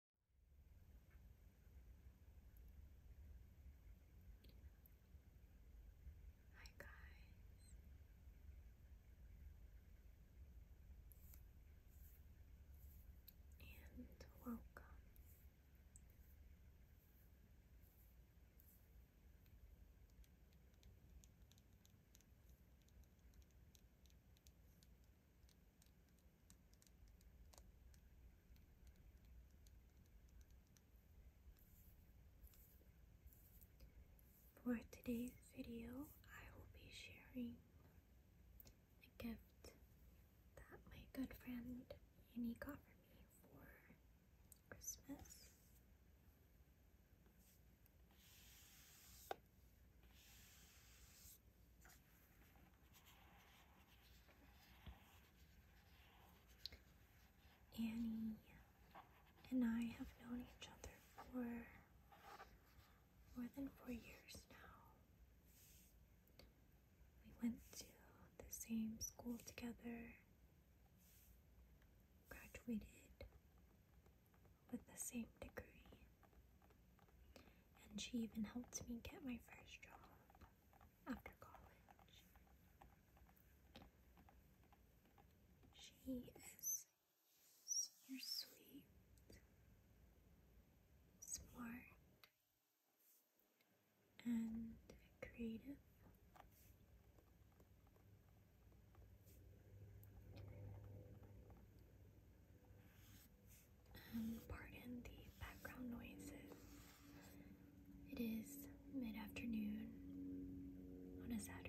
Hi guys. And welcome. For today's video, I will be sharing a gift that my good friend Annie got for me for Christmas. Annie and I have known each other for more than four years now. We went to the same school together, graduated with the same degree. And she even helped me get my first job after college. She is so sweet, smart, and creative. Um, pardon the background noises. It is mid afternoon on a Saturday.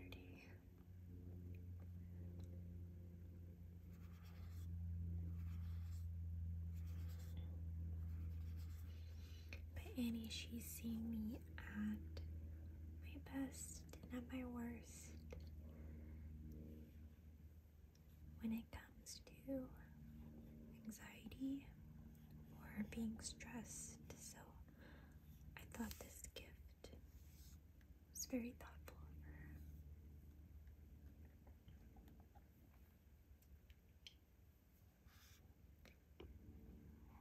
But Annie, she's seeing me at my best and my worst when it comes to anxiety or being stressed. So I thought this gift was very thoughtful of her.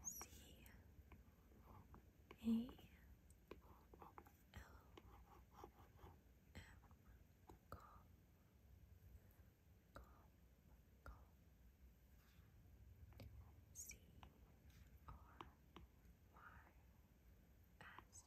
See, a L M calm, calm, crystal.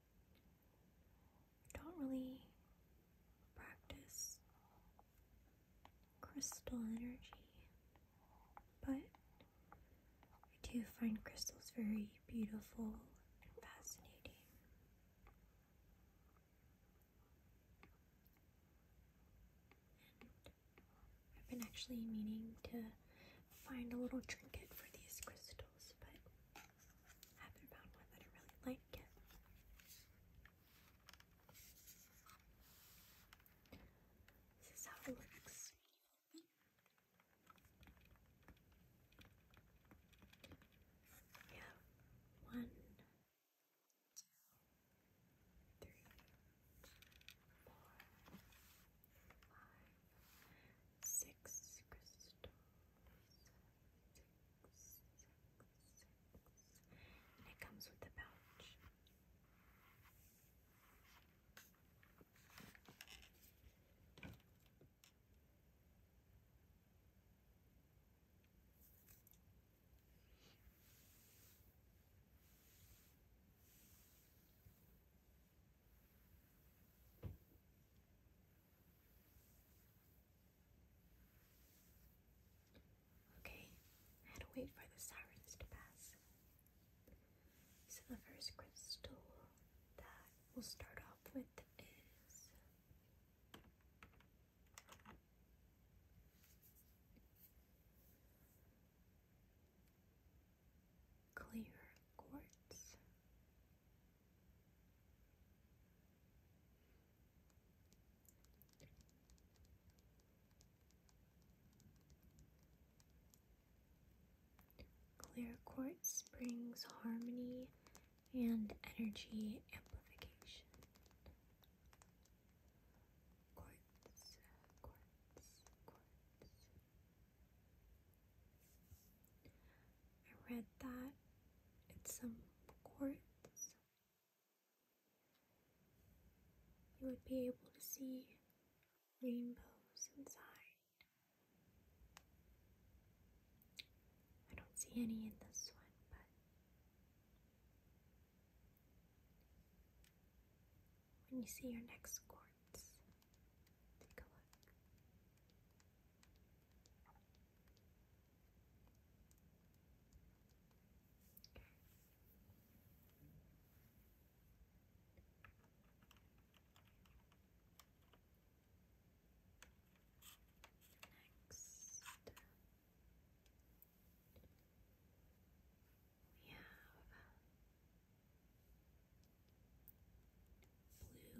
don't really practice crystal energy, but I do find crystals very beautiful and fascinating. I've been actually meaning to find a little trinket for these crystals, but haven't found one that I really like yet. This is how it looks. We one, two, three, four, five, six crystals, six, six, six. And it comes with the pouch. Okay, I had to wait for the sirens to pass. So the first crystal that we'll start off with is clear quartz. Clear quartz brings harmony and energy amplification quartz, quartz, quartz. I read that it's some quartz. You would be able to see rainbows inside. I don't see any in this one, but when you see your next quartz, take a look. Next, we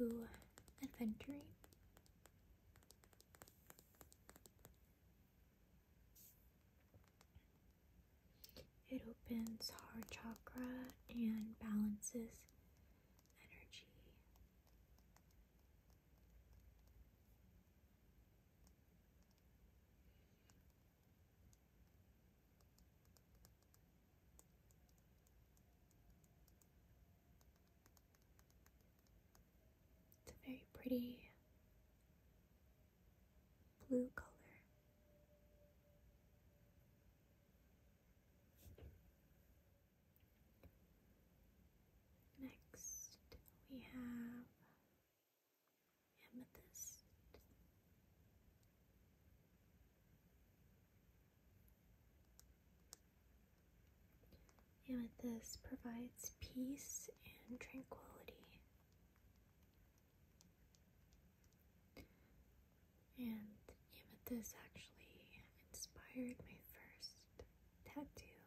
have blue adventuring. It opens heart chakra and balances energy. It's a very pretty blue color. Next, we have amethyst. Amethyst provides peace and tranquility. And amethyst actually inspired my first tattoo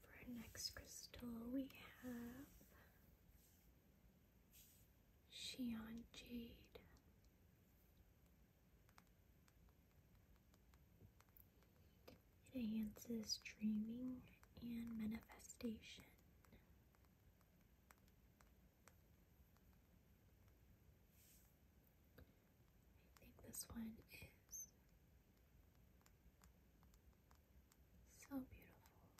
For our next crystal, we have Shion Jade enhances dreaming and manifestation. I think this one is so beautiful.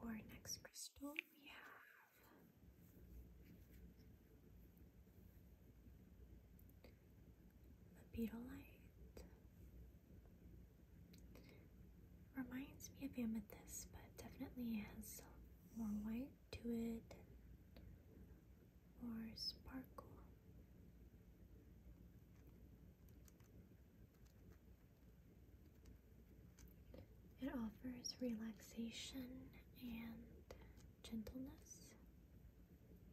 For our next crystal, we have the beetle light Reminds me of amethyst, but definitely has more white to it and more sparkle. It offers relaxation and gentleness.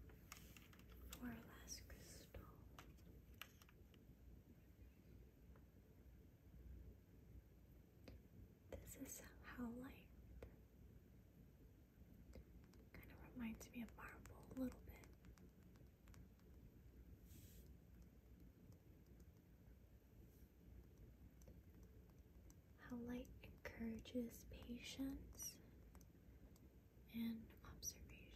And for our last crystal. This is how light kind of reminds me of marble a little bit. How light encourages patience and observation.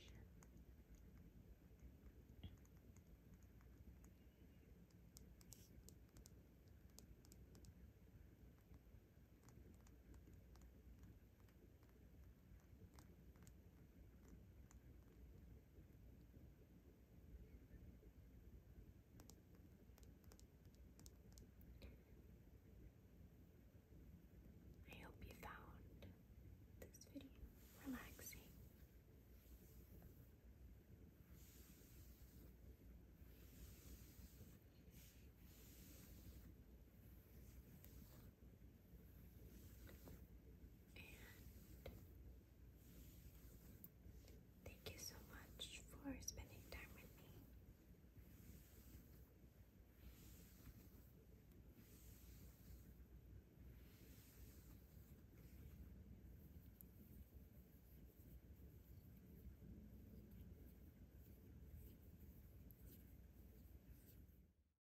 I hope you found this video relaxing thank you so much for spending time with me.